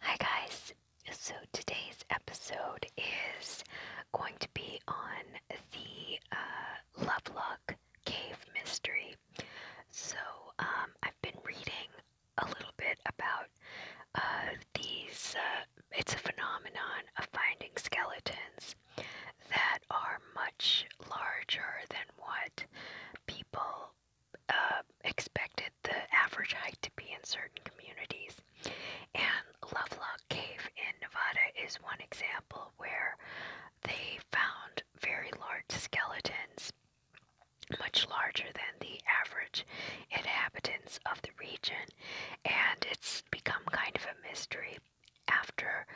Hi, guys. So, today's episode is going to be on the uh, Lovelock Cave Mystery. So, um, I've been reading a little bit about uh, these, uh, it's a phenomenon of finding skeletons that are much larger than what people uh, expected the average height to be in certain communities. And Lovelock Cave in Nevada is one example where they found very large skeletons, much larger than the average inhabitants of the region, and it's become kind of a mystery after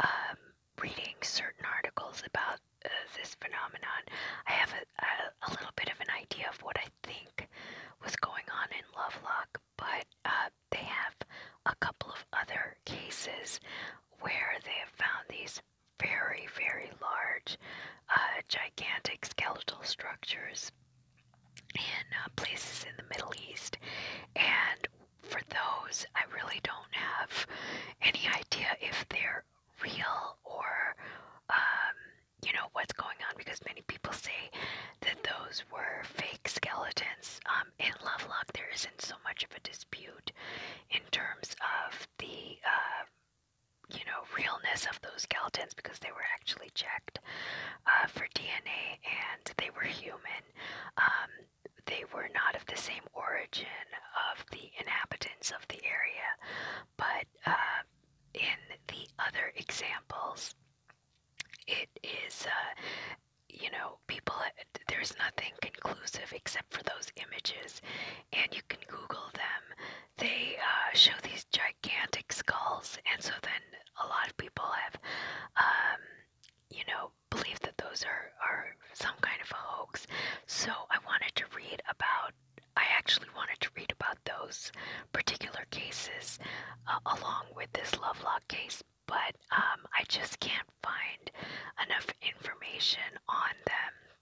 um, reading certain articles about uh, this phenomenon, I have a, a, little bit of an idea of what I think was going on in Lovelock, but uh, they have a couple of other cases where they have found these very, very large, uh, gigantic skeletal structures in places in the Middle East. And for those, I really don't have any idea if they're real or um, you know what's going on because many people say that those were fake skeletons. Um, in Lovelock, there isn't so much of a dispute in terms of the uh, you know realness of those skeletons because they were actually checked uh, for DNA and they were human. Um, they were not of the same origin of the inhabitants of the area but uh, in the other examples, it is, uh, you know, people, uh, there's nothing conclusive except for those images, and you can Google them. They show these gigantic skulls, and so then a lot of people have, um, you know, believe that those are, are some kind of a hoax. So I wanted to read about about, I actually wanted to read about those particular cases uh, along with this Lovelock case, but um, I just can't find enough information on them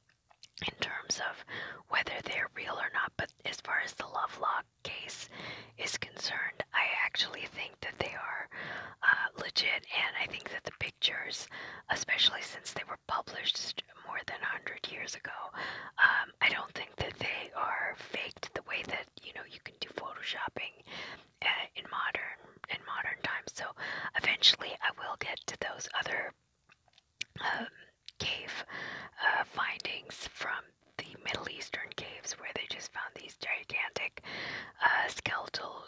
in terms of whether they're real or not. But as far as the Lovelock case is concerned, I actually think that they are uh, legit, and I think that the pictures, especially since they were published more than 100 years ago. Um, I don't think that they are faked the way that you know you can do photoshopping uh, in modern in modern times. So eventually, I will get to those other um, cave uh, findings from the Middle Eastern caves where they just found these gigantic uh, skeletal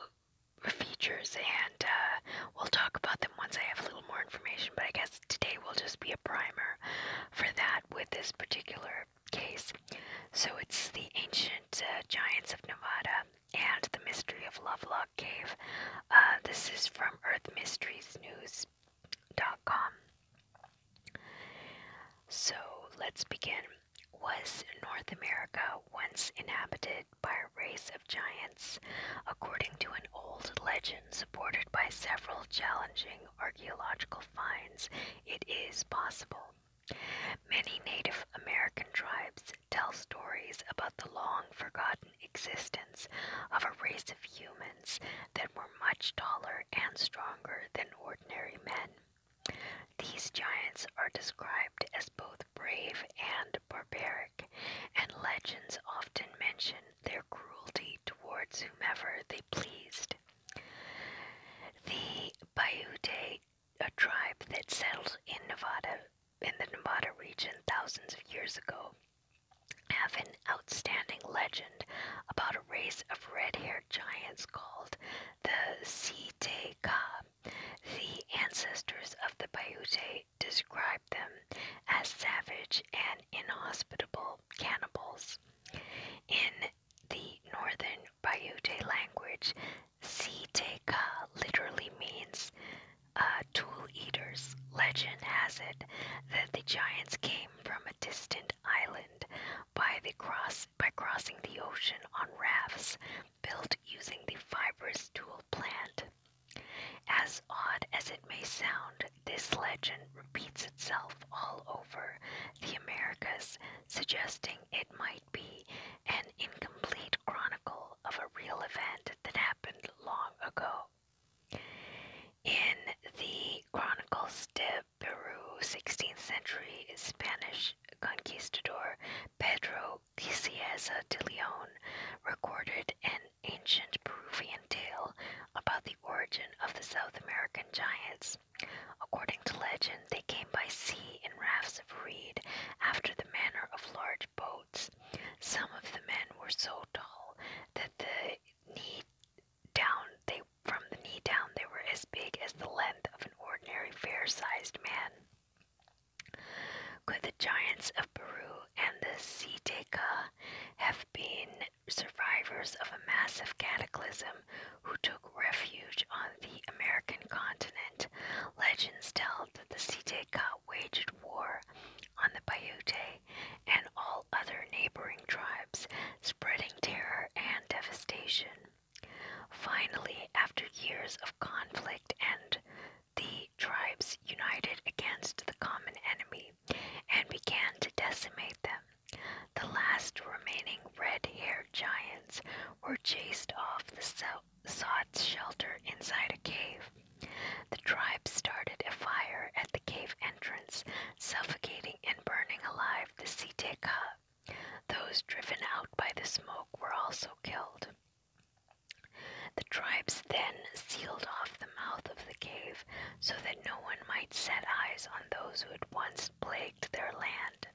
features and uh, we'll talk about them once I have a little more information but I guess Today will just be a primer for that with this particular case. So it's the ancient uh, giants of Nevada and the mystery of Lovelock Cave. Uh, this is from EarthMysteriesNews.com. So let's begin. Was North America once inhabited by a race of giants? According to an old legend, supported by several challenging archaeological finds, it is possible. Many Native American tribes tell stories about the long forgotten existence of a race of humans that were much taller and stronger than ordinary men. These giants are described as both brave and barbaric and legends often mention their cruelty towards whomever they pleased. The Paiute, a tribe that settled in Nevada, in the Nevada region thousands of years ago, have an outstanding legend about a race of red-haired giants called the Siteka. The ancestors of the Paiute described them as savage and inhospitable cannibals. In the northern Bayute language, Siteka literally means uh, tool eaters. Legend has it that the giants came from a distant island by the cross by crossing the ocean on rafts built using the fibrous tool plant. As odd as it may sound, this legend repeats itself all over the Americas, suggesting it might be an incomplete chronicle of a real event that happened long ago. In the Chronicles de Peru, 16th century Spanish conquistador Pedro de de Leon recorded an ancient Peruvian tale about the origin of the South American giants. According to legend, they came by sea in rafts of reed after the manner of large boats. Some of the men were so tall that the knee down they from the knee down they were as big as the length of an ordinary fair-sized man. Could the giants of Peru and the Citeca have been survivors of a massive cataclysm who took refuge on the American continent. Legends tell that the Siteka waged war on the Paiute and all other neighboring tribes, spreading terror and devastation. Finally, after years of conflict and the tribes united against the common enemy and began to decimate them. The last remaining red haired giants were chased off the sought shelter inside a cave. The tribes started a fire at the cave entrance, suffocating and burning alive the Siteka. Those driven out by the smoke were also killed. The tribes then sealed off the mouth of the cave so that no one might set eyes on those who had once plagued their land.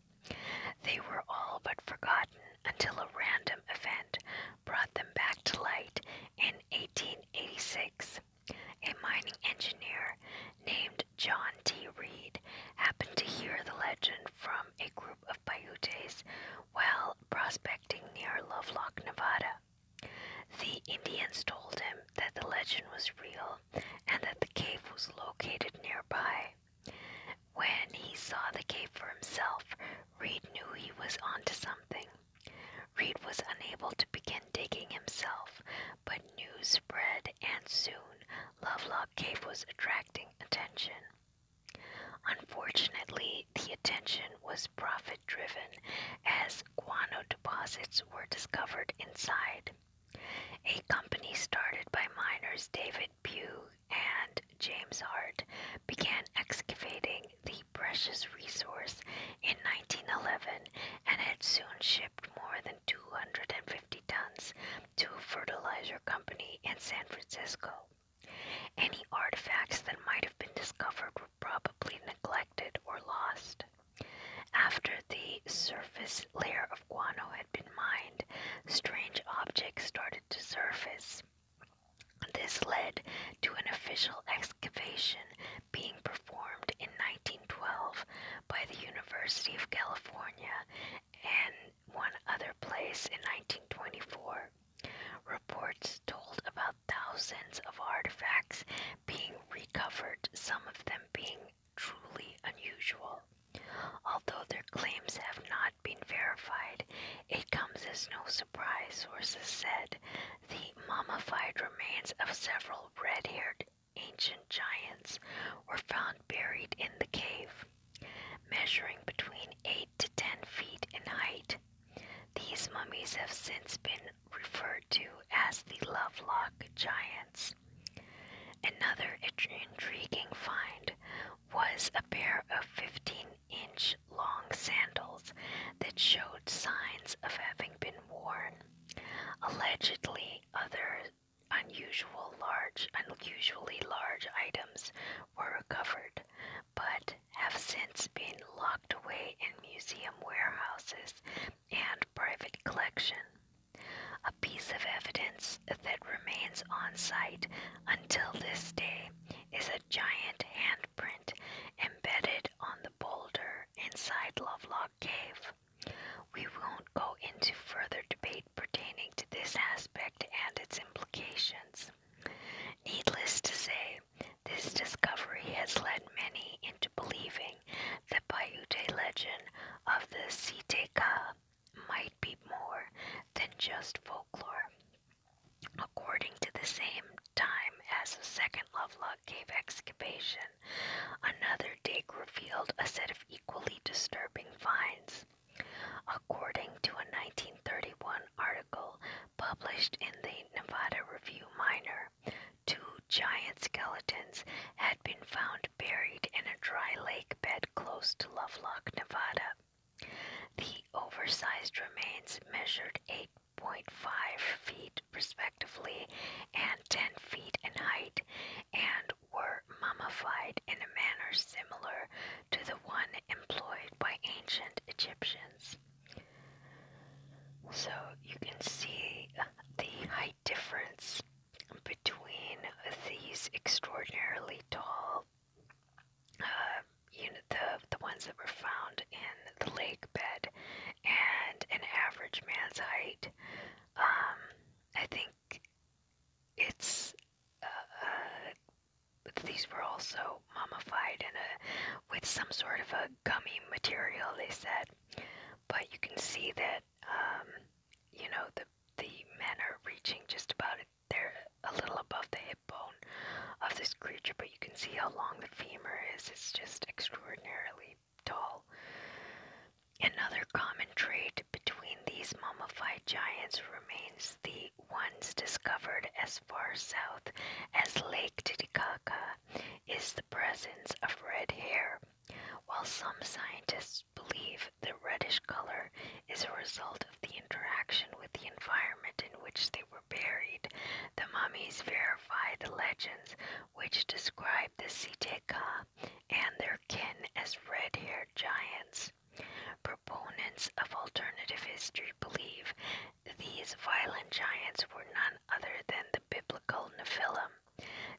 They were all but forgotten until a random event brought them back to light in 1886. A mining engineer named John T. Reed happened to hear the legend from a group of Paiutes while prospecting near Lovelock, Nevada. The Indians told him that the legend was real and that the cave was located nearby. When he saw the cave for himself, Reed knew he was onto something. Reed was unable to begin digging himself, but news spread and soon Lovelock Cave was attracting attention. Unfortunately, the attention was profit driven as guano deposits were discovered inside. A company started by miners David Pugh and James Hart began excavating the precious resource in 1911 and had soon shipped more than 250 tons to a fertilizer company in San Francisco. Any artifacts that might have been discovered probably neglected or lost. After the surface layer of guano had been mined, strange objects started to surface. This led to an official excavation being performed in 1912 by the University of California and one other place in 1924. Reports told about thousands of artifacts being recovered, some of them being truly unusual. Although their claims have not been verified, it comes as no surprise, sources said, the mummified remains of several red haired ancient giants were found buried in the cave. Measuring between 8 to 10 feet in height, these mummies have since been referred to as the Lovelock Giants. Another intriguing find was a pair of 15 inch long sandals that showed signs of having been worn. Allegedly, other unusual large, unusually large items were recovered, but have since been locked away in museum warehouses and private collection, a piece of evidence that remains on site until this day is a giant handprint embedded on the boulder inside Lovelock Cave. We won't go into further debate pertaining to this aspect and its implications. Needless to say, this discovery has led many into believing the Paiute legend of the Siteka might be more than just folklore. According to the same time as the second Lovelock cave excavation, another dig revealed a set of equally disturbing finds. According to a 1931 article published in the Nevada Review Minor, two giant skeletons had been found buried in a dry lake bed close to Lovelock, Nevada. The oversized remains measured 8.5 feet respectively and 10 feet in height and were mummified in a manner similar to the one employed by ancient Egyptians. So you can see the height difference between these extraordinarily tall uh, you know, the, the ones that were found in the lake bed and an average man's height. Um, I think it's uh, uh, these were also mummified in a with some sort of a gummy material. They said, but you can see that um, you know the the men are reaching just about it. They're a little above the hip bone of this creature, but you can see how long the femur is. It's just extraordinarily tall. Another common trait between these mummified giants remains the ones discovered as far south as Lake Titicaca is presence of red hair. While some scientists believe the reddish color is a result of the interaction with the environment in which they were buried, the mummies verify the legends which describe the Siteka and their kin as red haired giants. Proponents of alternative history believe these violent giants were none other than the biblical Nephilim,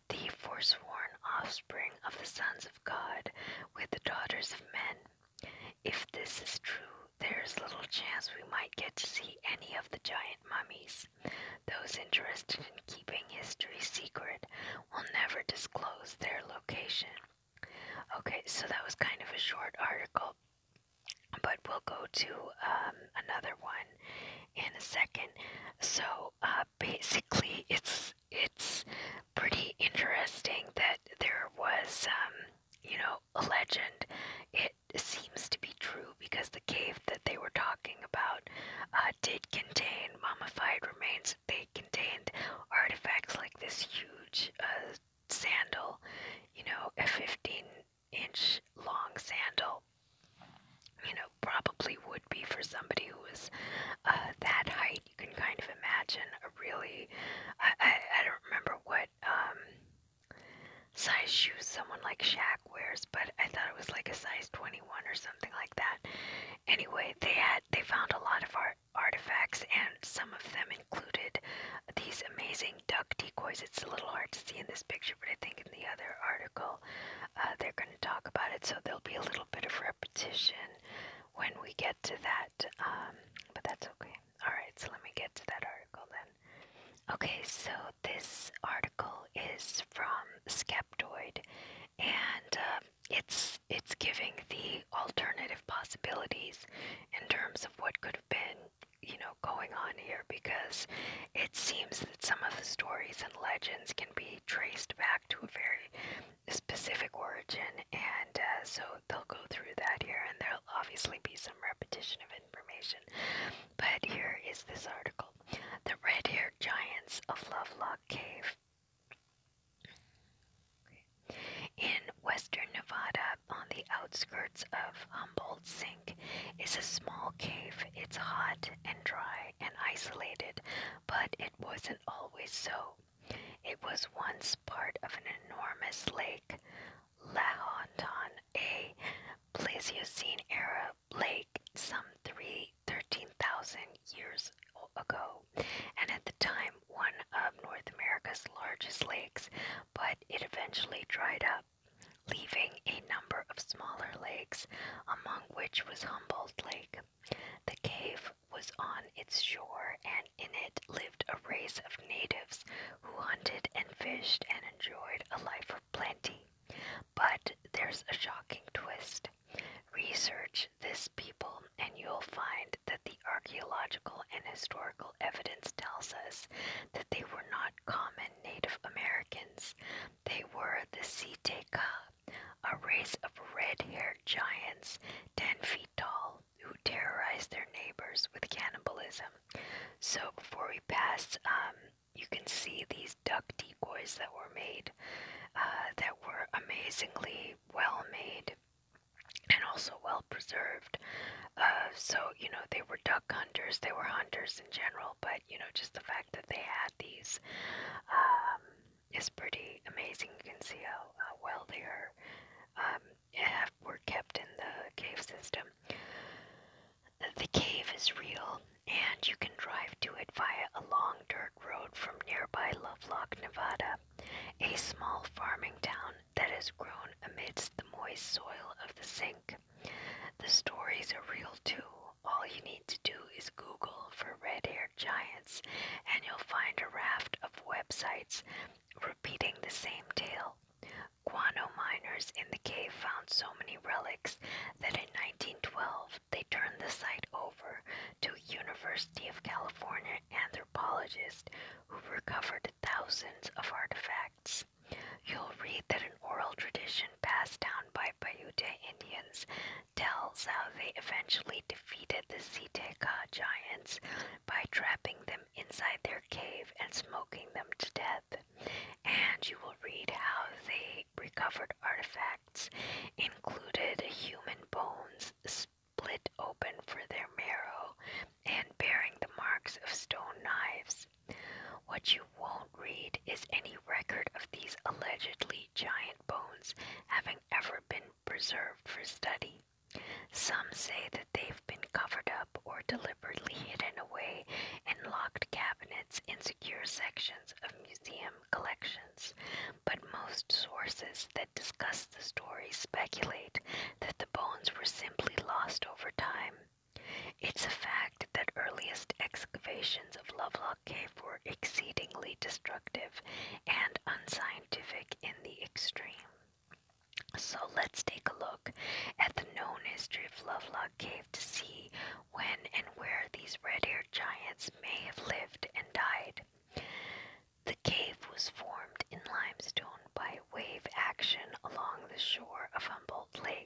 the forsworn offspring of the sons of God with the daughters of men. If this is true, there is little chance we might get to see any of the giant mummies. Those interested in keeping history secret will never disclose their location. Okay, so that was kind of a short article, but we'll go to um, another one in a second. So uh, basically, it's it's pretty interesting that there was um, you know a legend. It seems to be true because the cave that they were talking about uh, did contain mummified remains. They contained artifacts like this huge uh, sandal, you know, a fifteen inch long sandal, you know, probably would be for somebody who was uh, that height. You can kind of imagine a really, I, I, I don't remember what um, size shoes someone like Shaq wears, but I thought it was like a size 21 or something like that. Anyway, they had, they found a lot of art artifacts and some of them included these amazing duck decoys. It's a little hard to see in this picture, but I think in the other article uh, they're going to talk about it, so there'll be a little bit of repetition when we get to that, um, but that's okay. Alright, so let me get to that article then. Okay, so this article is from Skeptoid, and uh, it's it's giving the alternative possibilities in terms of what could have been you know, going on here because it seems that some of the stories and legends can be traced back to a very specific origin, and uh, so they'll go through that here, and there'll obviously be some repetition of information. But here is this article The Red Haired Giants of Lovelock Cave. In western Nevada, on the outskirts of Humboldt it's a small cave. It's hot and dry and isolated, but it wasn't always so. It was once part of an enormous lake, Lahontan, a Pleistocene era lake some 13,000 years ago, and at the time one of North America's largest lakes, but it eventually dried up leaving a number of smaller lakes, among which was Humboldt Lake. The cave was on its shore, and in it lived a race of natives who hunted and fished and enjoyed a life of plenty. But there's a shocking twist. Research this people, and you'll find that the archaeological and historical evidence tells us that they were not common Native Americans. They were the Siteka, a race of red haired giants 10 feet tall who terrorized their neighbors with cannibalism. So before we pass, um, you can see these duck decoys that were made, uh, that were amazingly well made and also well preserved. Uh, so, you know, they were duck hunters, they were hunters in general, but, you know, just the fact that they had these um, is pretty amazing. You can see how, how well they are, um, have, were kept in the cave system. The cave is real, and you can drive to it via a long dirt road from nearby Lovelock, Nevada, a small farming town that has grown amidst the moist soil of the St. The stories are real too. All you need to do is Google for red haired giants, and you'll find a raft of websites repeating the same tale. Guano miners in the cave found so many relics that in 1912 they turned the site over to University of California anthropologists who recovered thousands of artifacts. You'll read that an oral tradition passed down by Paiute Indians tells how they eventually defeated the Ziteca giants by trapping them inside their cave and smoking them to death. And you will read how they recovered artifacts, included human bones split open for their marrow and bearing the marks of stone knives. What you won't read is any record of these allegedly giant bones having ever been preserved for study. Some say that they've been covered up or deliberately hidden away in locked cabinets in secure sections of museum collections, but most sources that discuss the story speculate that the bones were simply lost over time it's a fact that earliest excavations of Lovelock Cave were exceedingly destructive and unscientific in the extreme. So let's take a look at the known history of Lovelock Cave to see when and where these red-haired giants may have lived and died. The cave was formed in limestone by wave action along the shore of Humboldt Lake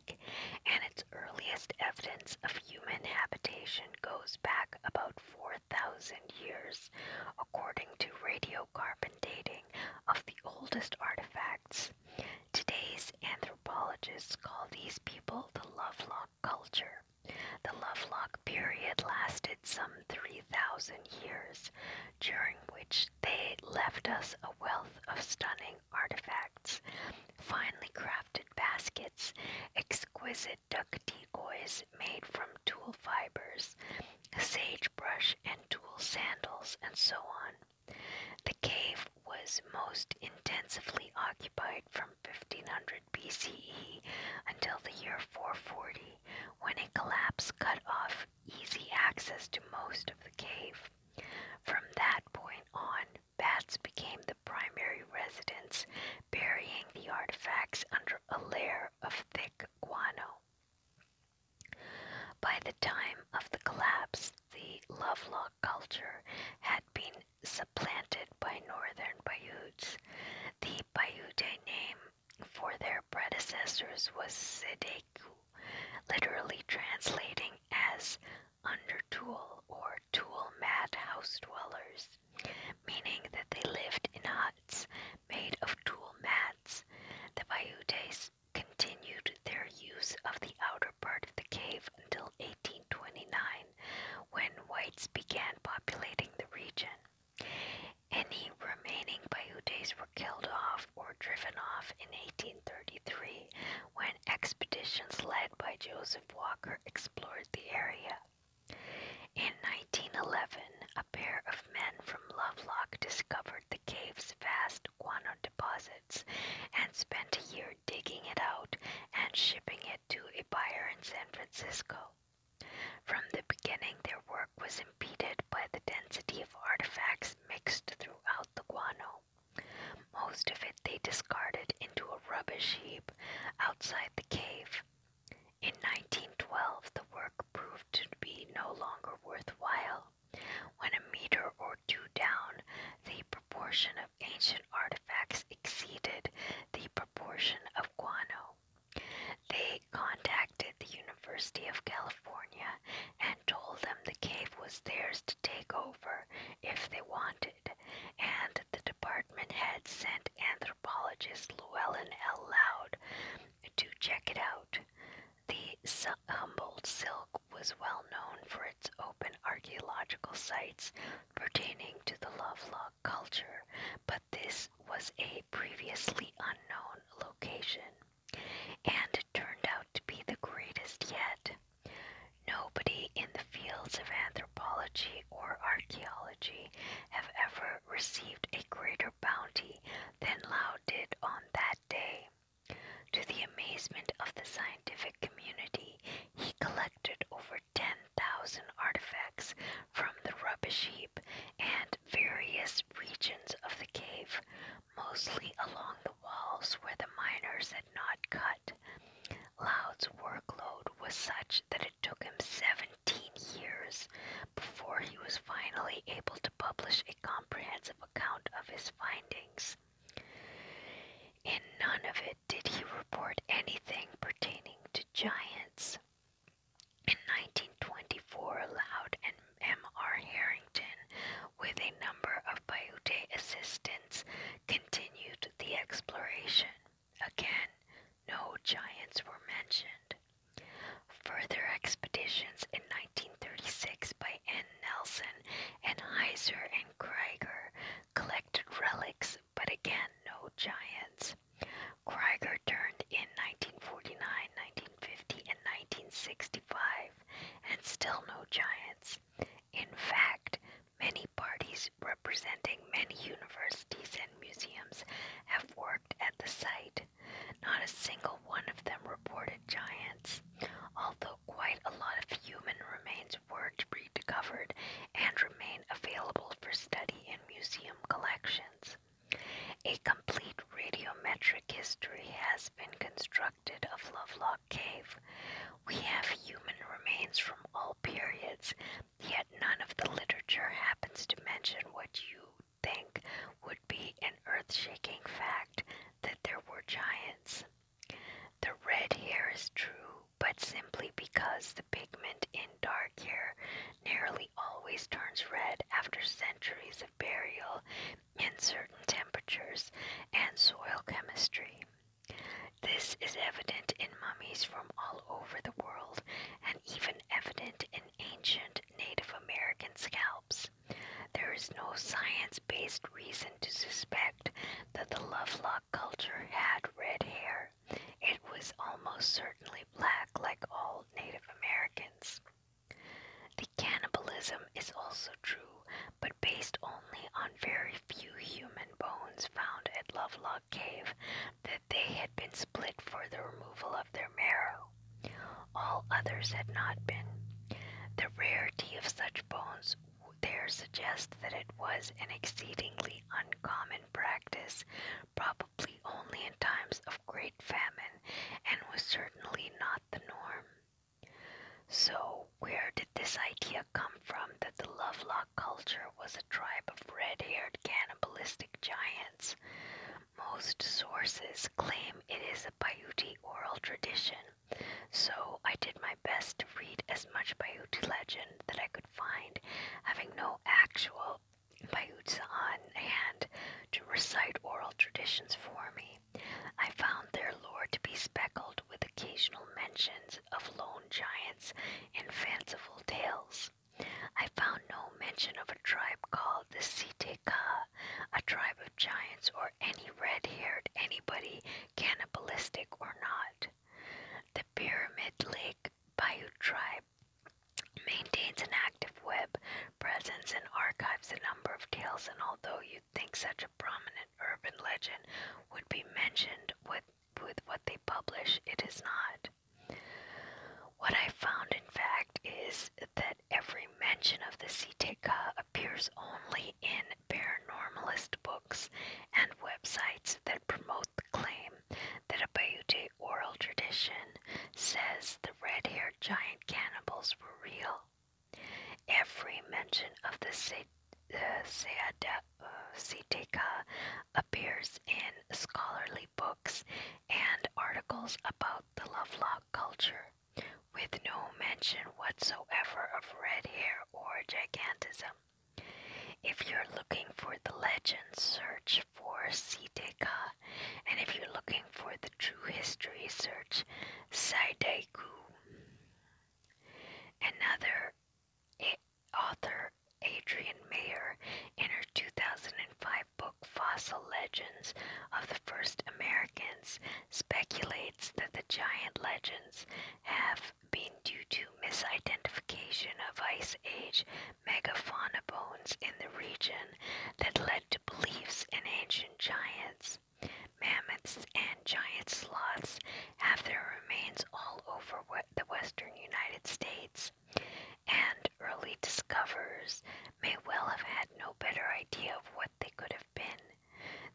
and its earliest evidence of human habitation goes back about 4,000 years, according to radiocarbon dating of the oldest artifacts. Today's anthropologists call these people the Lovelock culture. The Lovelock period lasted some 3,000 years, during which they left us a wealth of stunning artifacts, finely crafted baskets, exquisite duck decoys made from tulle fibers, sagebrush and tulle sandals, and so on. The cave was most intensively occupied from 1500 BCE until the year 440, when a collapse cut off easy access to most of the cave. From that point on, bats became the primary residents, burying the artifacts under a layer of thick guano. By the time of the collapse, the Lovelock culture had been supplanted by northern Paiutes. The Paiute name for their predecessors was Sede literally translating as "under tool" or tool mad house dwellers, meaning that they lived in huts made of tool mats. The Paiutes continued their use of the outer part of the cave until 1829 when whites began populating the region. Any remaining Paiutes were killed off or driven off in 1833 when expeditions led by Joseph Walker explored the area. In 1911, a pair of men from Lovelock discovered the cave's vast guano deposits and spent a year digging it out and shipping it to a buyer in San Francisco. From the beginning, their work was impeded by the density of artifacts mixed throughout the guano. Most of it they discarded into a rubbish heap outside the cave. In 1912, the work proved to be no longer worthwhile. When a meter or two down, the proportion of ancient artifacts exceeded the proportion of guano. They contacted the University of California and told them the cave was theirs to take over if they wanted, and the department had sent anthropologist Llewellyn L. Loud to check it out. The Humboldt silk was well known for its open archaeological sites pertaining to the Lovelock culture, but this was a previously unknown location, and turned out to be the greatest yet. Nobody in the fields of anthropology or archaeology have ever received a greater bounty than Lao did on that day. To the amazement of the scientific community, he collected over 10,000 artifacts from the rubbish heap and various regions of the cave, mostly along the walls where the miners had not cut. Loud's workload was such that it took him 17 years before he was finally able to publish a comprehensive account of his findings. In none of it did he report anything pertaining to giants. In 1924, Loud and M.R. Herring with a number of Paiute assistants continued the exploration. Again, no giants were mentioned. Further expeditions in 1936 by N. Nelson and Heiser and Krieger collected relics, but again, no giants. Krieger turned in 1949, 1950, and 1965, and still no giants. In fact, many parties representing many universities and museums have worked at the site. Not a single one of them reported giants, although quite a lot of human remains were recovered and remain available for study in museum collections. A complete radiometric history has been constructed of Lovelock cave. We have human remains from all periods, yet none of the literature happens to mention what you think would be an earth shaking fact that there were giants. The red hair is true, but simply because the pigment in dark hair nearly always turns red after centuries of burial and certain temperatures and soil chemistry. This is evident in mummies from all over the world and even evident in ancient Native American scalps. There is no science based reason to suspect that the Lovelock culture had red hair. It was almost certainly black, like all Native Americans. The cannibalism is also true, but based only on very few human bones found at Lovelock Cave that they had been split for the removal of their marrow. All others had not been. The rarity of such bones there suggests that it was an exceedingly uncommon practice, probably only in times of great famine, and was certainly not the norm. So, where did this idea come from that the Lovelock culture was a tribe of red haired cannibalistic giants? Most sources claim it is a Paiute oral tradition, so I did my best to read as much Paiute legend that I could find, having no actual Paiutes on hand to recite oral traditions for me. I found their lore to be speckled with occasional mentions of lone giants and fanciful tales. I found no mention of a tribe called the Siteka, a tribe of giants or any red haired anybody, cannibalistic or not. The Pyramid Lake Paiute tribe maintains an active web presents and archives a number of tales, and although you'd think such a prominent urban legend would be mentioned with, with what they publish. It is not. What I found, in fact, is that every mention of the Siteka appears only in paranormalist books and websites that promote the claim that a Paiute oral tradition says the red haired giant cannibals were real Every mention of the Cetica uh, appears in scholarly books and articles about the Lovelock culture, with no mention whatsoever of red hair or gigantism. If you're looking for the legend, search for Sideka, and if you're looking for the true history, search Sidaiku. Another author, Adrian Mayer, in her 2005 book Fossil Legends of the First Americans, speculates that the giant legends have been due to misidentification of Ice Age megafauna bones in the region that led to beliefs in ancient giants. Mammoths and giant sloths have their remains all over the western United States, and early discoverers may well have had no better idea of what they could have been.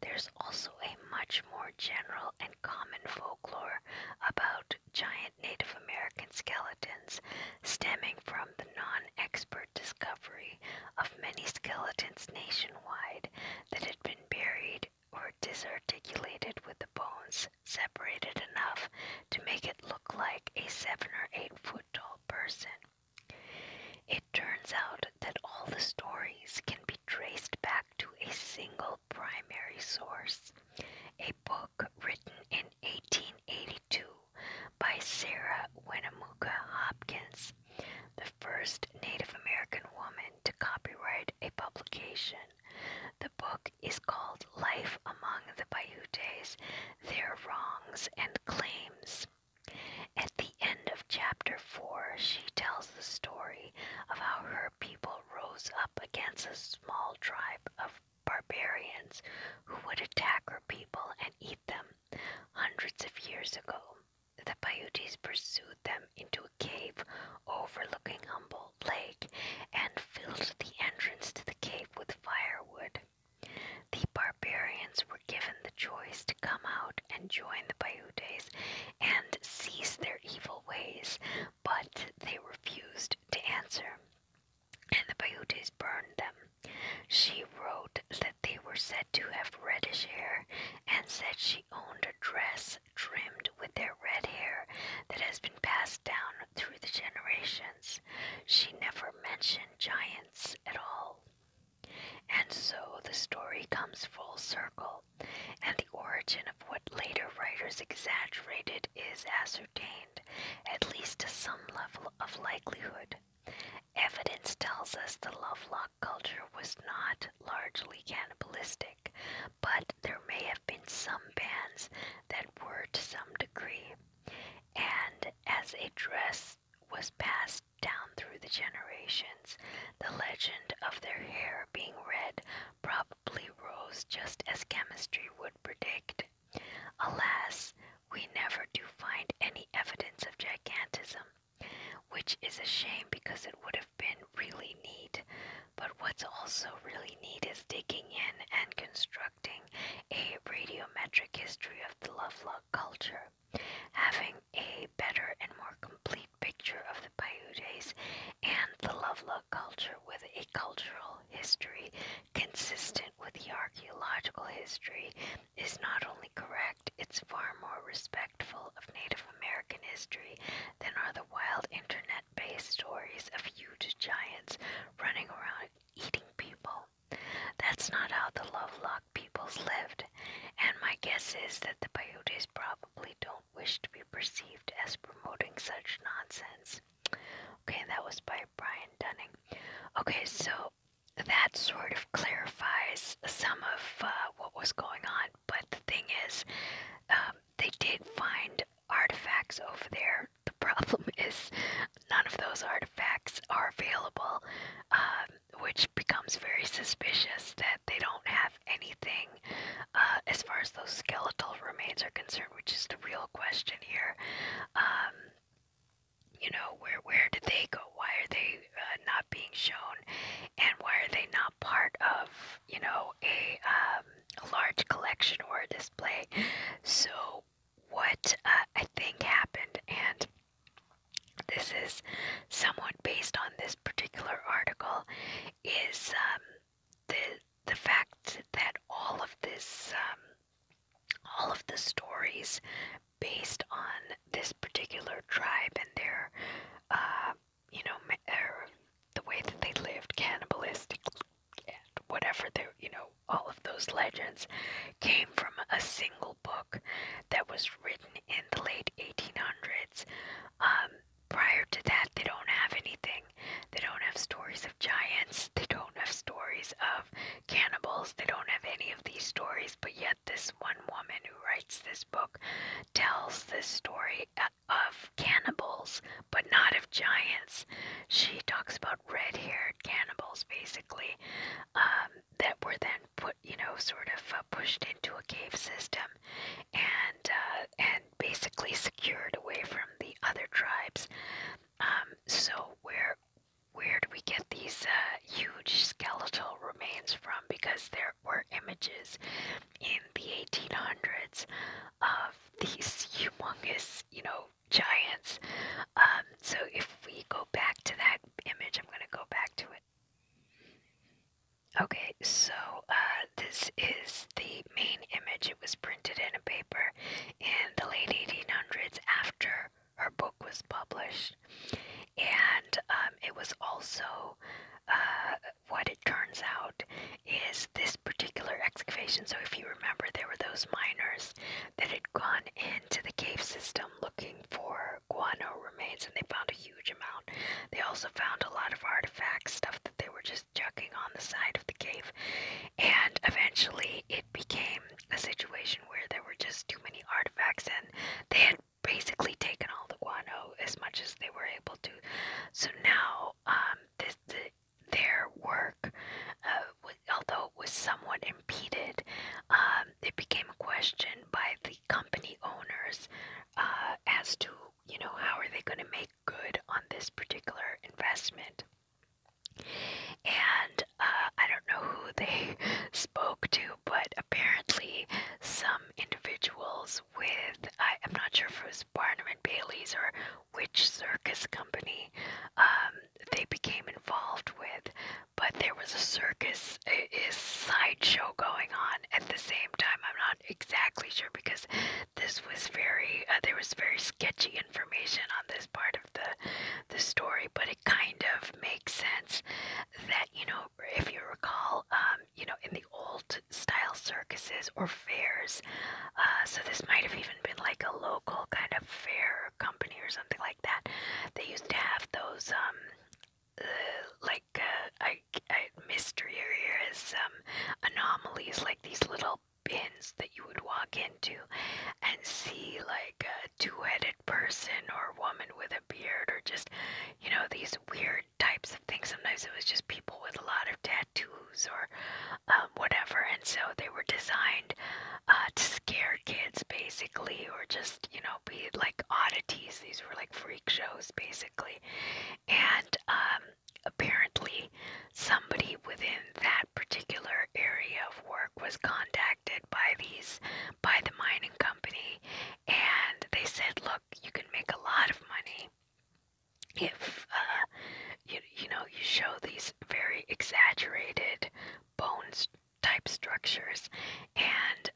There's also a much more general and common folklore about giant Native American skeletons stemming from the non expert discovery of many skeletons nationwide that had been buried or disarticulated with the bones separated enough to make it look like a seven or eight foot tall person. It turns out that all the stories can be traced back to a single primary source, a book written in 1882 by Sarah Winnemucca Hopkins, the first Native American woman to copyright a publication. The book is called Life Among the Paiutes Their Wrongs and Claims. At the end of chapter 4, she tells the story of how her people rose up against a small tribe of barbarians who would attack her people and eat them hundreds of years ago the Paiutes pursued them into a cave overlooking Humboldt Lake and filled the entrance to the cave with firewood. The barbarians were given the choice to come out and join the Paiutes and cease their evil ways, but they refused to answer, and the Paiutes burned them. She wrote that they were said to have reddish hair and said she owned a dress trimmed with their red hair that has been passed down through the generations. She never mentioned giants at all. And so the story comes full circle, and the origin of what later writers exaggerated is ascertained, at least to some level of likelihood. Evidence tells us the Lovelock culture was not largely cannibalistic, but there may have been some bands that were to some degree, and as a dress was passed down through the generations, the legend of their hair being red probably rose just as chemistry would predict. Alas, we never do find any evidence of gigantism which is a shame because it would have been really neat. But what's also really neat is digging in and constructing a radiometric history of the Lovelock culture. Having a better and more complete picture of the Paiutes and the Lovelock culture with a cultural history consistent with the archaeological history is not only correct, it's far more respectful of Native American history than are the wild internet based stories of huge giants running around eating people. That's not how the Lovelock peoples lived, and my guess is that the Paiutes probably don't wish to be perceived as promoting such nonsense. Okay, that was by Brian Dunning. Okay, so that sort of clarifies some of uh, what was going on but the thing is, um, they did find artifacts over there. The problem is, none of those artifacts are available, um, which becomes very suspicious that they don't have anything uh, as far as those skeletal remains are concerned, which is the real question here. Um, you know where where did they go? Why are they uh, not being shown, and why are they not part of you know a, um, a large collection or a display? So what uh, I think happened, and this is somewhat based on this particular article, is um, the the fact that all of this um, all of the stories based on this particular tribe and their um, you know, or er, the way that they lived, cannibalistic, whatever they, you know, all of those legends came from a single book that was written in the late 1800s. Um, prior to that, they don't have anything. They don't have stories of giants. They don't have stories of cannibals. They don't have any of these stories, but yet this one woman who writes this book tells this story uh, of cannibals, but not of giants. She talks about red haired cannibals, basically, um, that were then put, you know, sort of uh, pushed into a cave system and, uh, and basically secured away from the other tribes. Um, so, where where do we get these uh, huge skeletal remains from? Because there were images in the 1800s of these humongous, you know, giants. Um, so if we go back to that image, I'm going to go back to it. Okay, so uh, this is the main image. It was printed in a paper in the late 1800s after her book was published. And um, it was also uh, what it turns out is this particular excavation. So, if you remember, there were those miners that had gone into the cave system looking for guano remains, and they found a huge amount. They also found a lot of artifacts, stuff that they were just chucking on the side of the cave. And eventually, it became a situation where there were just too many artifacts, and they had basically taken all the guano as much as they were able to. So now um, this the, their work, uh, was, although it was somewhat impeded, um, it became a question by the company owners uh, as to you know how are they going to make good on this particular investment. And uh, I don't know who they spoke to, but apparently some individuals was with I, I'm not sure if it was Barnum and Bailey's or which circus company um, they became involved with, but there was a circus a, a sideshow going on at the same time. I'm not exactly sure because this was very uh, there was very sketchy information on this part of the the story, but it kind of makes sense that you know if you recall. Um, you know, in the old style circuses or fairs. Uh, so this might have even been like a local kind of fair company or something like that. They used to have those, um, uh, like, uh, I, I, mystery areas, um, anomalies, like these little bins that you would walk into and see like a two-headed person or woman with a beard or just you know these weird types of things. Sometimes it was just people with a lot of tattoos or um, whatever, and so they were designed uh, to scare kids basically, or just you know be like oddities. These were like freak shows basically, and um, apparently somebody within that particular area of work was contacted by these by the mining company, and they said, look. TikTok, you can make a lot of money if uh, you you know you show these very exaggerated bones type structures, and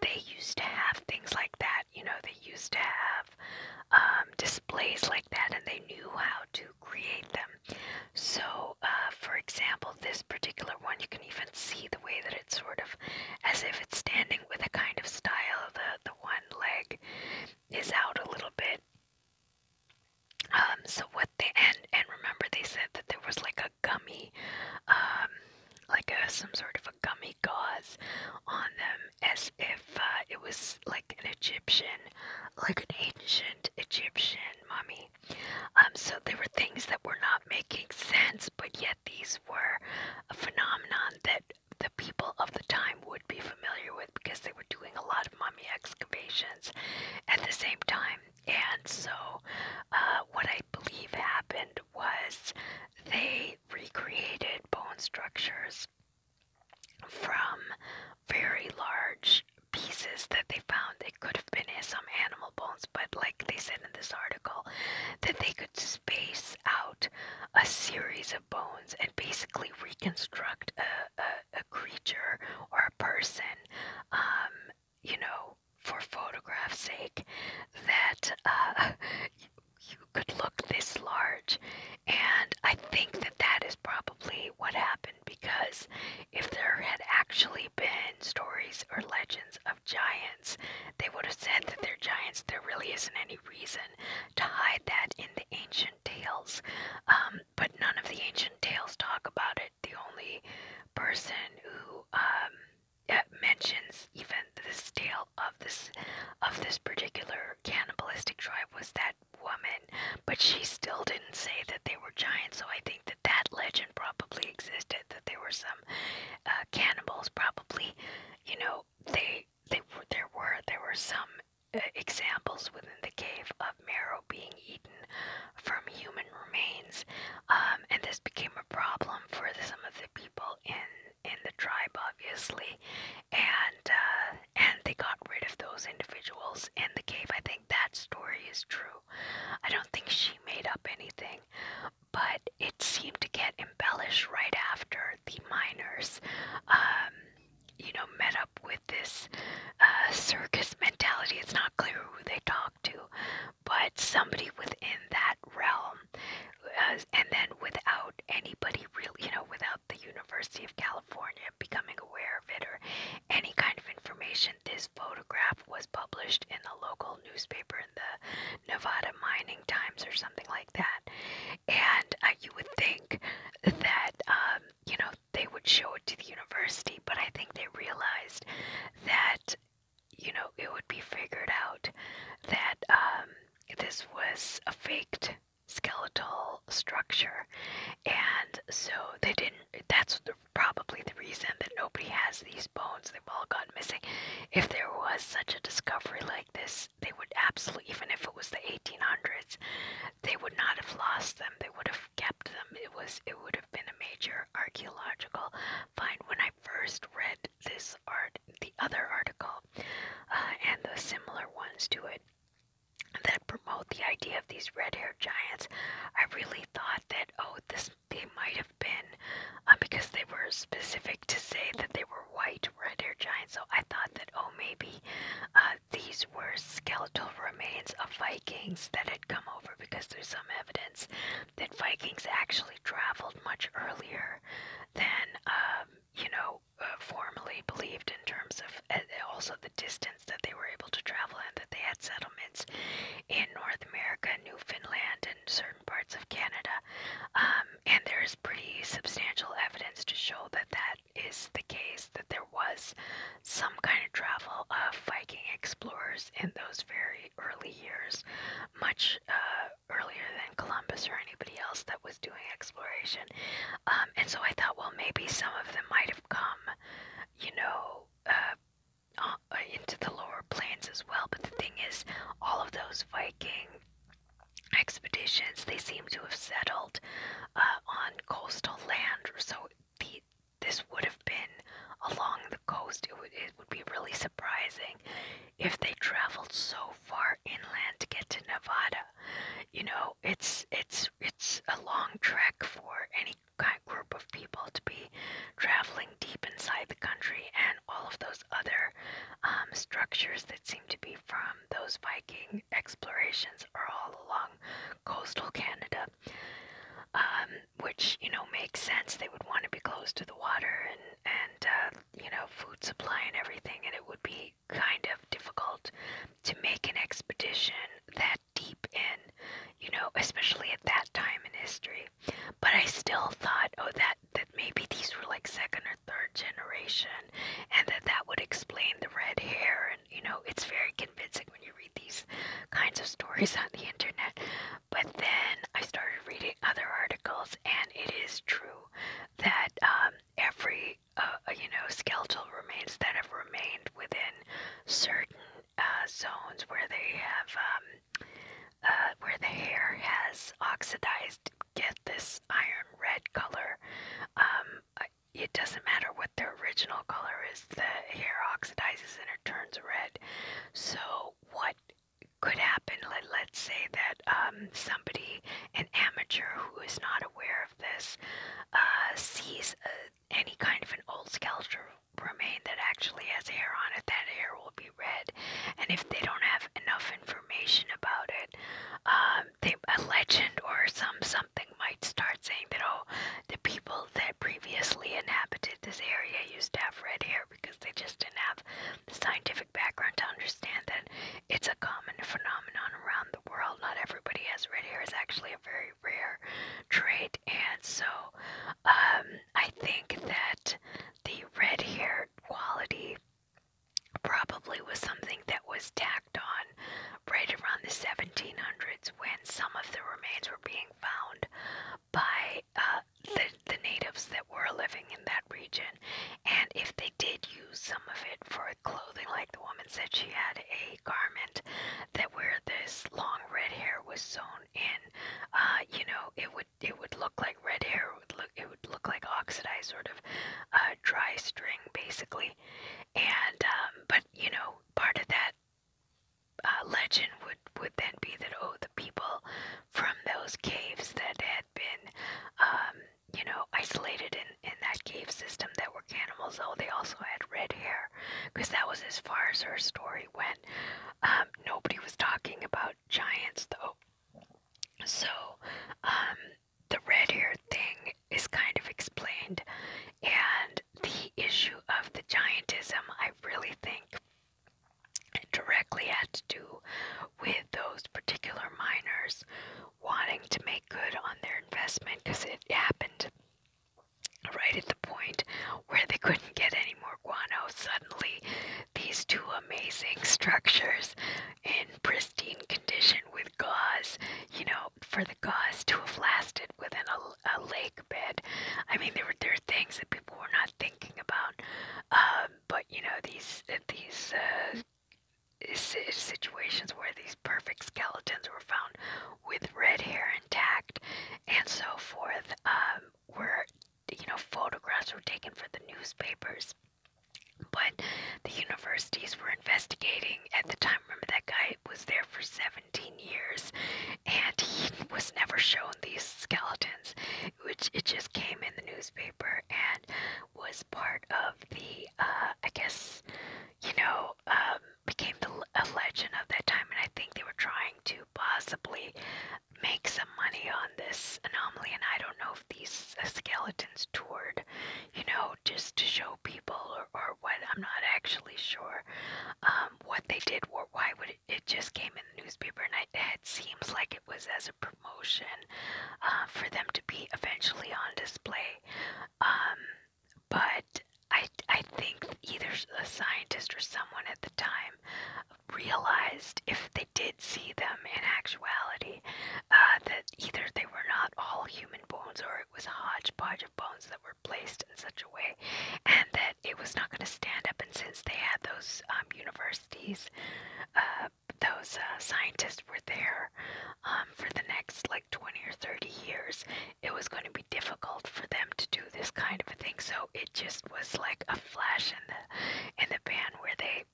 they used to have things like that. You know, they used to have um, displays like that, and they knew how to create them. So, uh, for example, this particular one, you can even see the way that it's sort of as if it's standing with a kind of style. The the one leg is out a little bit. Um, so what they and and remember they said that there was like a gummy, um, like a some sort of a gummy gauze on them, as if uh, it was like an Egyptian, like an ancient Egyptian mummy. Um, so there were things that were not making sense, but yet these were a phenomenon that the people of the time would be familiar with because they were doing a lot of mummy excavations at the same time. And so, uh, what I believe happened was they recreated bone structures from very large pieces that they found. It could have been some animal bones, but like they said in this article, that they could space out a series of bones and basically reconstruct a, a, creature or a person, um, you know, for photograph's sake, that uh, you could look this large. And I think that that is probably what happened because if there had actually been stories or legends of giants, they would have said that they're giants. There really isn't any reason reason to hide that in the ancient tales. Um, but none of the ancient tales talk about it. The only person who um, uh, mentions even this tale of this of this particular cannibalistic tribe was that woman, but she still didn't say that they were giants. So I think that that legend probably existed that there were some uh, cannibals, probably, you know, they they were, there were there were some uh, examples within the cave of marrow being eaten from human remains, um, and this became a problem for some of the people in in the tribe, obviously, and uh, and they got rid of those individuals in the cave. I think that story is true. I don't think she made up anything, but it seemed to get embellished right after the miners, um, you know, met up with this uh, circus mentality. It's not clear who they talked to, but somebody within that realm. Uh, and then without anybody really, you know, without the University of California becoming aware of it or any kind of information, this photograph was published in a local newspaper in the Nevada Mining Times or something like like that. And uh, you would think that, um, you know, they would show it to the university, but I think they realized that, you know, it would be figured out that um, this was a faked skeletal structure and so they didn't that's the, probably the reason that nobody has these bones they've all gone missing if there was such a discovery like this they would absolutely, even if it was the 1800s, they would not have lost them. They would have kept them. It was, it would have been a major archaeological find. When I first read this art, the other article, uh, and the similar ones to it that promote the idea of these red-haired giants, I really thought that oh, this they might have been uh, because they were specific specific to say that they were white red haired giants, so I thought that, oh, maybe uh, these were skeletal remains of Vikings that had come over because there's some evidence that Vikings actually traveled much earlier than, um, you know, uh, formerly believed in terms of uh, also the distance that they were able to travel and that they had settlements in North America, Newfoundland, and certain parts of Canada. Um, and there is pretty substantial evidence to show that that is the case, that there was some kind of travel of Viking explorers in those very early years, much uh, earlier than Columbus or anybody else that was doing exploration. Um, and so I thought, well, maybe some of them might have come, you know. Uh, uh, into the lower plains as well, but the thing is, all of those Viking expeditions, they seem to have settled uh, on coastal land. So the, this would have been along the coast. It would, be really surprising if they traveled so far inland to get to Nevada. You know, it's it's it's a long trek for any kind of group of people to be traveling deep inside the country, and all of those those other um, structures that seem to be from those Viking explorations are all along coastal Canada, um, which you know makes sense. They would want to be close to the water and and uh, you know food supply and everything, and it would be kind of difficult to make an expedition that deep in, you know, especially at that time in history. But I still thought, oh, that that maybe these were like second or third generation and that that would explain the red hair and you know it's very convincing when you read these kinds of stories on the internet but then i started reading other articles and it is true that um, every uh, uh, you know skeletal remains that have remained within certain uh, zones where they have um, where the hair has oxidized get this iron red color. Um, it doesn't matter what their original color is, the hair oxidizes and it turns red. So, what could happen, let, let's say that um, somebody, an amateur who is not aware of this, uh, sees uh, any kind of an old skeleton remain that actually has hair on it, that hair will be red. And if they don't have enough information about it, um, a legend or some something might start saying that oh, the people that previously inhabited this area used to have red hair because they just didn't have the scientific background to understand that it's a common phenomenon around the world. Not everybody has red hair; is actually a very rare trait, and so um, I think that the red hair quality probably was something that was tacked on right around the 1700s when some of the remains were being found by uh, the, the natives that were living in that region. And if they did use some of it for clothing, like the woman said, she had a garment that where this long red hair was sewn in, uh, you know, it would it would look like red hair. It would look it would look like oxidized sort of uh, dry string, basically. And um, but you know, part of that uh, legend would would then be that oh, the people from those caves that had been um, you know isolated in in that cave system that were cannibals, oh, they also had red hair, because that was as far as her story went. Um, nobody was talking about giants though. So, um, the red hair thing is kind of explained, and the issue of the giantism, I really think, directly had to do with those particular miners wanting to make good on their investment because it happened right at the point where they couldn't get any more guano. Suddenly, these two amazing structures in pristine condition with gauze, you know, for the gauze to have lasted within a, a lake bed. I mean, there were there are things that people were not thinking about, um, but you know, these these. Uh, situations where these perfect skeletons were found with red hair intact and so forth um, were you know photographs were taken for the newspapers but the universities were investigating at the time. Remember, that guy was there for 17 years and he was never shown these skeletons, which it just came in the newspaper and was part of the, uh, I guess, you know, um, became the, a legend of that time. And I think they were trying to possibly make some money on this anomaly, and I don't know if these uh, skeletons toured, you know, just to show people or, or what. I'm not actually sure um, what they did or why would it, it just came in the newspaper, and I, it seems like it was as a promotion uh, for them to be eventually on display. Um, but I, I think either a scientist or someone at the time realized if they did see them in actuality uh, that Either they were not all human bones or it was a hodgepodge of bones that were placed in such a way and that it was not going to stand up. And since they had those um, universities, uh, those uh, scientists were there um, for the next like 20 or 30 years, it was going to be difficult for them to do this kind of a thing. So it just was like a flash in the in the pan where they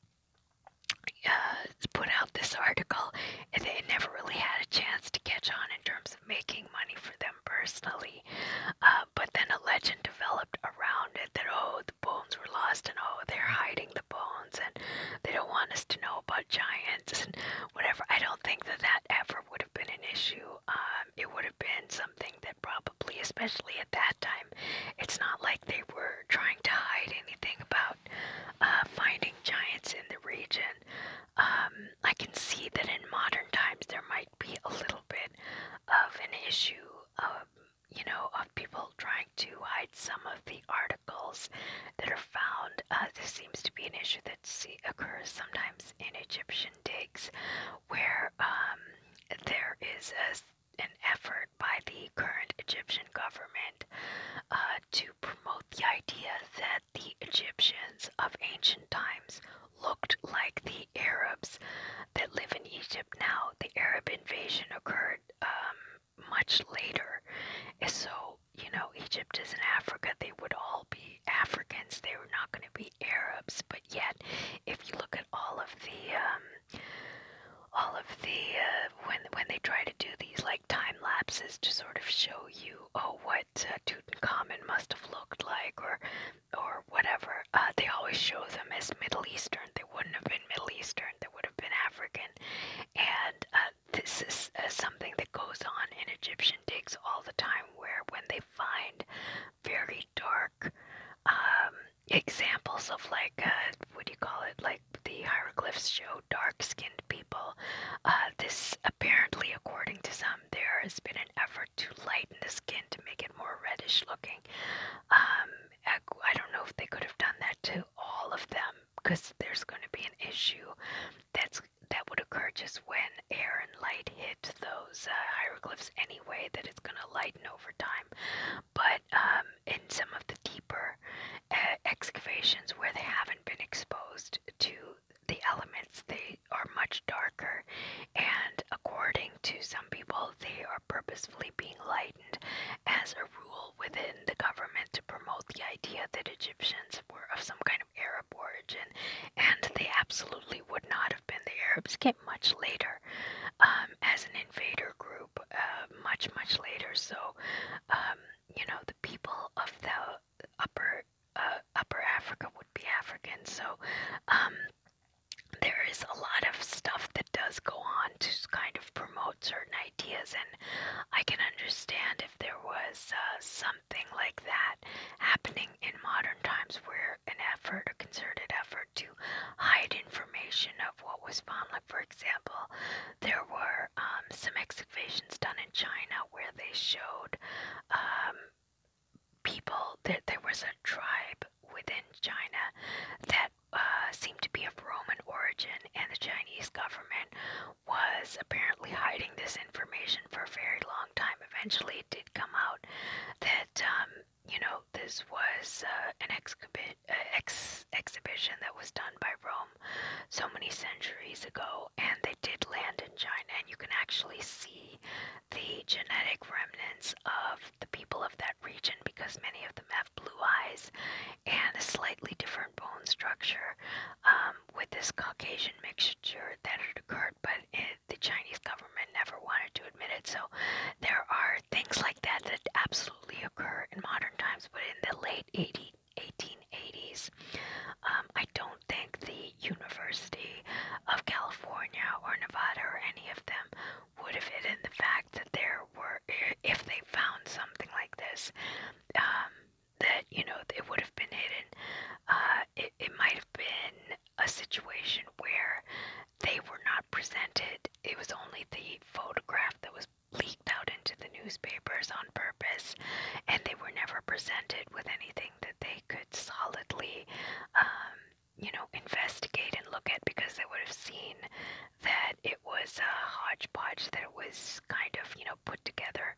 uh, put out this article, and they never really had a chance to catch on in terms of making money for them personally. Uh, but then a legend developed around it that oh, the bones were lost, and oh, they're hiding the bones, and they don't want us to know about giants and whatever. I don't think that that ever would have been an issue. Um, it would have been something that probably, especially at that time, it's not like they were trying to hide anything about uh, finding giants in the region. Um, I can see that in modern times there might be a little bit of an issue of, you know, of people trying to hide some of the articles that are found. Uh, this seems to be an issue that occurs sometimes in Egyptian digs where um, there is a an effort by the current Egyptian government uh, to promote the idea that the Egyptians of ancient times looked like the Arabs that live in Egypt now. The Arab invasion occurred um, much later. So, you know, Egypt is in Africa. They would all be Africans. They were not going to be Arabs. But yet, if you look at all of the. Um, all of the uh, when when they try to do these like time lapses to sort of show you oh what uh, Tutankhamun must have looked like or or whatever uh, they always show them as Middle Eastern they wouldn't have been Middle Eastern they would have been African and uh, this is uh, something that goes on in Egyptian digs all the time where when they find very dark um, examples of like uh, what do you call it like the hieroglyphs show dark-skinned people. Uh, this apparently, according to some, there has been an effort to lighten the skin to make it more reddish-looking. Um, I don't know if they could have done that to all of them because there's going to be an issue that's that would occur just when air and light hit those uh, hieroglyphs anyway that it's going to lighten over time but um, in some of the deeper uh, excavations where they haven't been exposed to the elements, they are much darker, and according to some people, they are purposefully being lightened as a rule within the government to promote the idea that Egyptians were of some kind of Arab origin, and they absolutely would not have been. The Arabs came much later um, as an invader group, uh, much, much later. So um, you know, the people of the upper uh, upper Africa would be African. So um, there is a lot of stuff that does go on to kind of promote certain ideas, and I can understand if there was uh, something like that happening in modern times where an effort, a concerted effort to hide information of what was found, for example, there were um, some excavations done in China where they showed um, people that there was a tribe within China that uh, seemed to be of Roman origin, and the Chinese government was apparently hiding this information for a very long time. Eventually, it did come out that um, you know this was uh, an excavation. Uh, ex exhibition that was done by Rome so many centuries ago, and they did land in China, and you can actually see the genetic remnants of the people of that region because many of them have blue eyes and a slightly different bone structure um, with this Caucasian mixture that had occurred, but the Chinese government never wanted to admit it. So there are things like that that absolutely occur in modern times, but in the late late um, I don't think the University of California or Nevada or any of them would have hidden the fact that there were, if they found something like this, um, that, you know, it would have been hidden. Uh, it, it might have been a situation where they were not presented. It was only the photograph that was was leaked out into the newspapers on purpose, and they were never presented with anything that they could solidly, um, you know, investigate and look at because they would have seen that it was a hodgepodge that it was kind of, you know, put together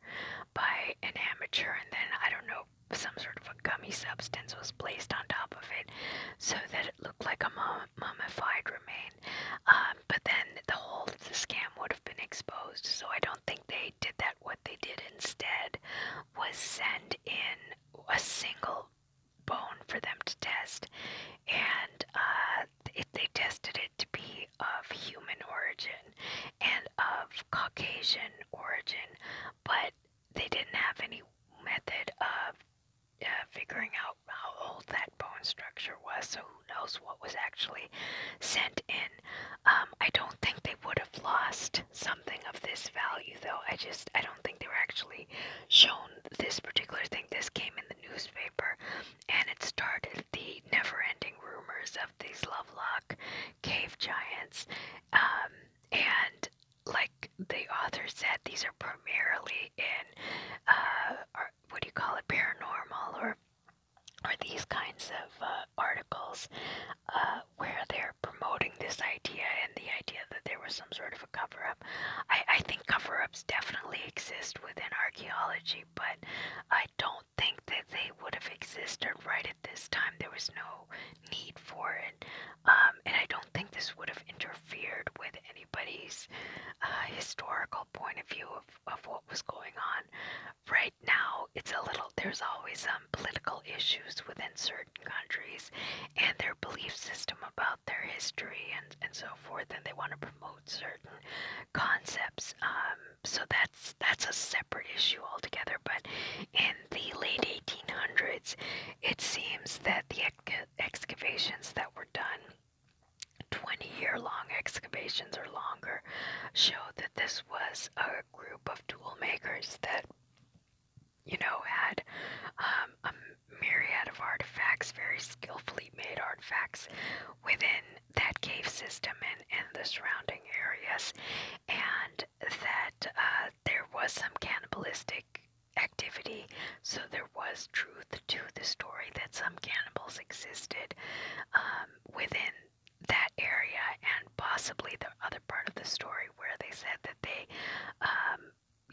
by an amateur, and then I don't know, some sort of a gummy substance was placed on top of it so that it looked like a mum mummified remain. Um, but then the whole the scam would have been exposed. So I don't think they did that. What they did instead was send in a single bone for them to test, and uh, it, they tested it to be of human origin and of Caucasian origin, but they didn't have any method of uh, figuring out how old that bone structure was, so who knows what was actually sent in. Um, I don't think they would have lost something of this value, though. I just, I don't think they were actually shown this particular thing. This came in the newspaper, and it started the never-ending rumors of these Lovelock cave giants, um, and like the author said, these are primarily in uh, what do you call it, paranormal or or these kinds of uh, articles uh, where they're promoting this idea and the idea that there was some sort of a cover up. I, I think cover ups definitely exist within archaeology, but I don't think that they would have existed right at this time. There was no need for it. Um, and I don't think this would have interfered with anybody's uh, historical historical point of view of, of what was going on. Right now, it's a little, there's always some um, political issues within certain countries and their belief system about their history and, and so forth, and they want to promote certain concepts. Um, so that's that's a separate issue altogether. But in the late 1800s, it seems that the ex excavations that were done 20 year long excavations or longer show that this was a group of tool makers that, you know, had um, a myriad of artifacts, very skillfully made artifacts within that cave system and, and the surrounding areas, and that uh, there was some cannibalistic activity, so there there was truth to the story that some cannibals existed um, within that area and possibly the other part of the story where they said that they, um,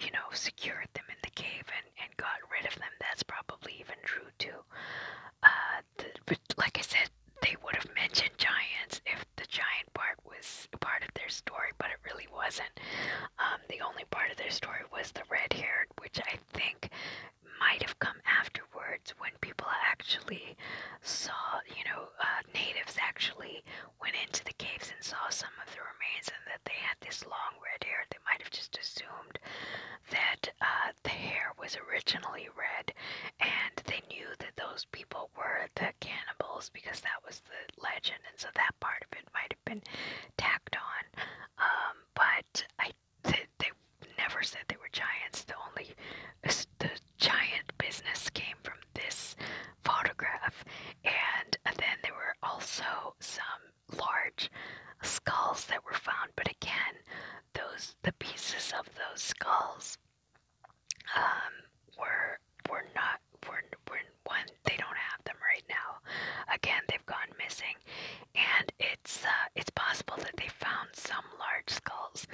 you know, secured them in the cave and, and got rid of them. That's probably even true too. Uh, the, but like I said, they would have mentioned giants if the giant part was part of their story, but it really wasn't. Um, the only part of their story was the red haired, which I think might have come afterwards when people actually saw, you know, uh, natives actually went into the caves and saw some of the remains and that they had this long red hair. They might have just assumed that uh, the hair was originally red and they knew that those people were the cannibals because that was the legend. And so that part of it might have been tacked on. Um, but I they, they never said they were giants. The only the giant business came from this photograph, and uh, then there were also some large skulls that were found. But again, those the pieces of those skulls um, were were not were were one. They don't have them right now. Again, they've gone missing missing, and it's uh, it's possible that they found some large skulls,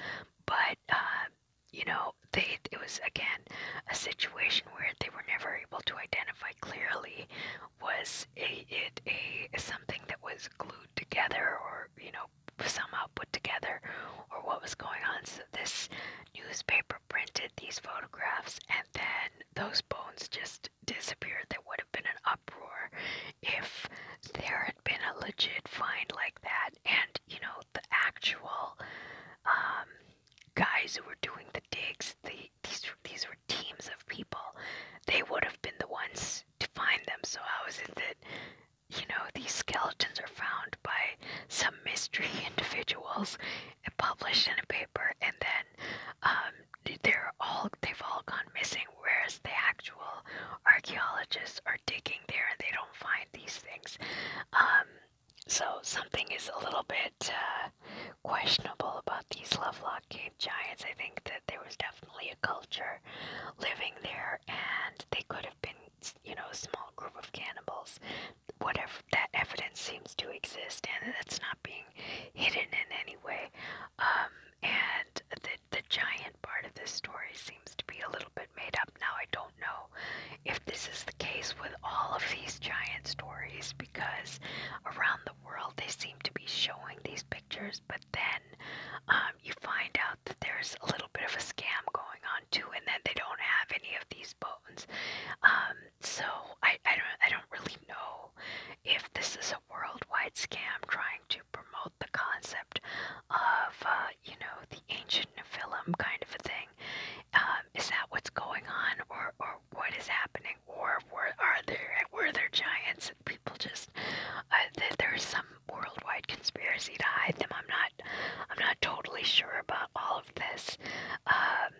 but uh, you know they it was again a situation where they were never able to identify clearly was a, it a something that was glued together or you know somehow put together or what was going on. So this newspaper printed these photographs and then those bones just disappeared. That would have been an uproar if there had been a legit fine like that and you know the actual um guys who were doing the digs the these these were teams of people they would have been the ones to find them so how is it that you know these skeletons are found by some mystery individuals and published in a paper and then um, they're all they've all gone missing. Whereas the actual archaeologists are digging there and they don't find these things. Um, so something is a little bit uh, questionable about these Lovelock cave giants. I think that there was definitely a culture living there, and they could have been, you know, a small group of cannibals. Whatever that evidence seems to exist, and that's not being hidden in any way. Um, and the the giant part of this story seems to be a little bit made up. Now I don't know if this is the case with all of these giant stories because around the world they seem to be showing these pictures, but then um, you find out that there's a little bit of a scam going on too, and then they don't have any of these bones. Um, so I I don't I don't really know if this is a worldwide scam trying to promote the concept of, uh, you know, the ancient Nephilim kind of a thing. Um, is that what's going on, or, or what is happening, or were are there were there giants and people just uh, th there's some worldwide conspiracy to hide them? I'm not I'm not totally sure about all of this. Um,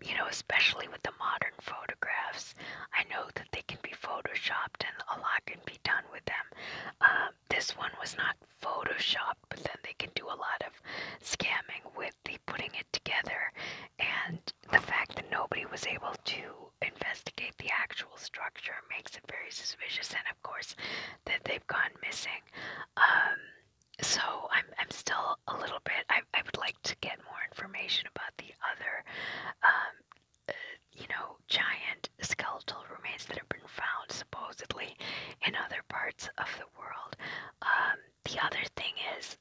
you know, especially with the modern photographs. I know that they can be photoshopped and a lot can be done with them. Um, this one was not photoshopped, but then they can do a lot of scamming with the putting it together and the fact that nobody was able to investigate the actual structure makes it very suspicious and of course that they've gone missing. Um, so I'm, I'm still a little bit, I, I would like to get more information about the other, um, uh, you know, giant skeletal remains that have been found supposedly in other parts of the world. Um, the other thing is,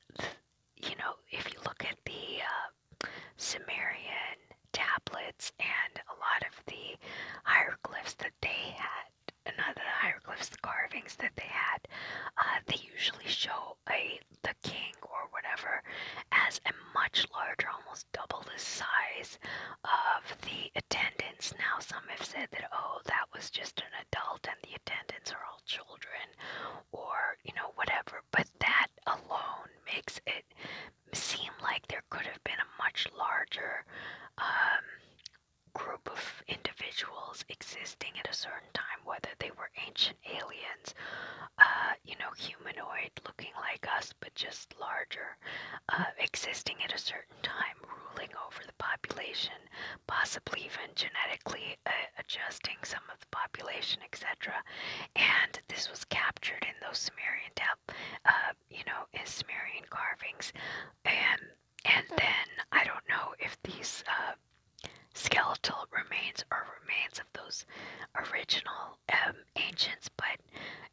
you know, if you look at the uh, Sumerian tablets and a lot of the hieroglyphs that they had, and uh, other hieroglyphs, the carvings that they had, uh, they usually show a the king or whatever as a much larger, almost double the size of the attendants. Now, some have said that, oh, that was just an adult and the attendants are all children, or, you know, whatever. But that alone makes it seem like there could have been a much larger um, group of individuals existing at a certain time, whether they were ancient aliens, uh, you know, humanoid looking like us but just larger, uh, existing at a certain time, ruling over the population, possibly even genetically uh, adjusting some of the population, etc. And this was captured in those Sumerian dep, you know, in Sumerian carvings, and and then I don't know if these. Skeletal remains or remains of those original um, ancients, but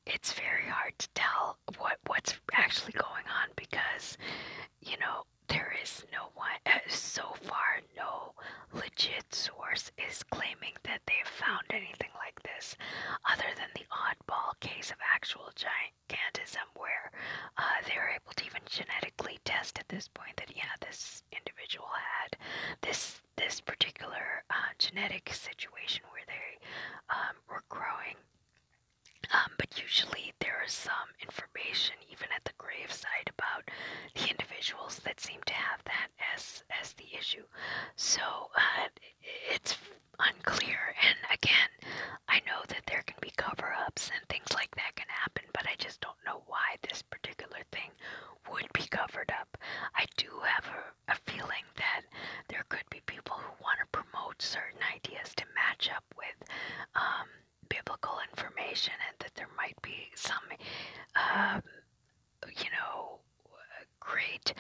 it's very hard to tell what what's actually going on because you know there is no one uh, so far no legit source is claiming that they found anything like this other than the oddball case of actual gigantism where uh, they were able to even genetically test at this point that yeah this individual had this this particular uh, genetic situation where they um, were growing. Um, but usually there is some information, even at the gravesite, about the individuals that seem to have that as as the issue. So uh, it's unclear. And again, I know that there can be cover-ups and things like that can happen, but I just don't know why this particular thing would be covered up. I do have a, a feeling that there could be people who want to promote certain ideas to match up with um, biblical information, and that there might be some, um, you know, great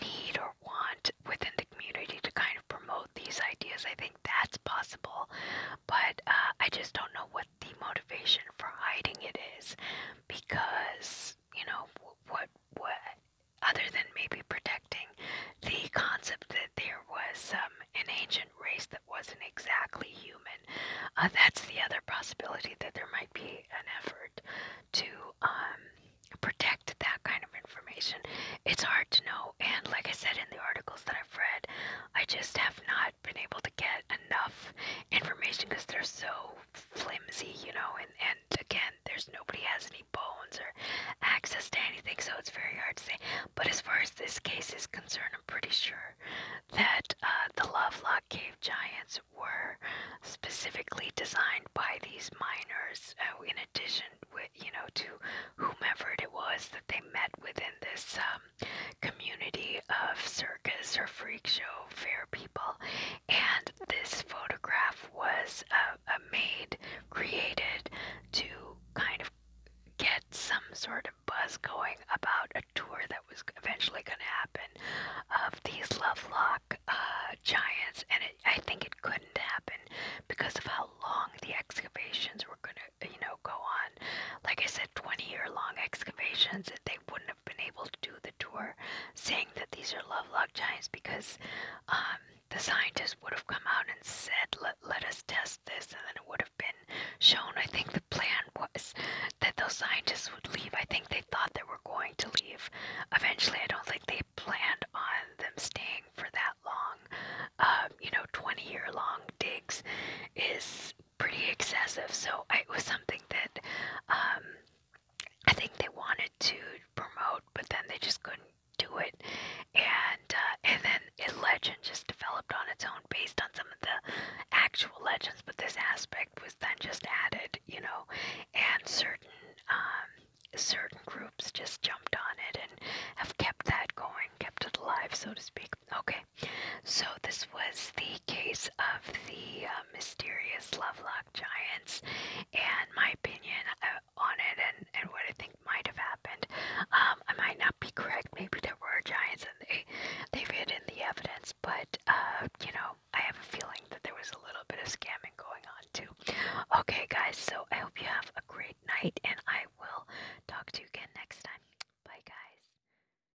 need or want within the community to kind of promote these ideas. I think that's possible, but uh, I just don't know what the motivation for hiding it is because you know what what other than maybe protecting the concept that there was um, an ancient race that wasn't exactly human uh, that's the other possibility that there might be an effort to um, protect that kind of information it's hard to know and like i said in the articles that i've read i just have not been able to to get enough information because they're so flimsy, you know, and, and again, there's nobody has any bones or access to anything, so it's very hard to say. But as far as this case is concerned, I'm pretty sure that uh, the Lovelock Cave Giants were specifically designed by these miners, uh, in addition, with, you know, to whomever it was that they met within this um, um, community of circus or freak show fair people, and this photograph was uh, uh, made, created to kind of get some sort of buzz going about a tour that was eventually going to happen of these Lovelock uh, giants, and it, I think it couldn't happen because of how long the excavations were going to, you know, go on like I said, 20 year long excavations that they wouldn't have been able to do the tour, saying that these are lovelock giants because um, the scientists would have come out and said, let, let us test this, and then it would have been shown. I think the plan was that those scientists would leave. I think they thought they were going to leave. Eventually, I don't think they planned on them staying for that long. Um, you know, 20 year long digs is pretty excessive. So it was something that um, I think they wanted to promote, but then they just couldn't do it. And uh, and then a legend just developed on its own based on some of the actual legends, but this aspect was then just added, you know, and certain. Um, certain groups just jumped on it and have kept that going, kept it alive, so to speak. Okay, so this was the case of the uh, mysterious Lovelock Giants and my opinion uh, on it and, and what I think might have happened. Um, I might not be correct, maybe there were giants and they, they hid in the evidence, but uh, you know, I have a feeling that there was a little bit of scamming going on too. Okay, guys, so I hope you have a great night and I will talk to you again next time. Bye, guys.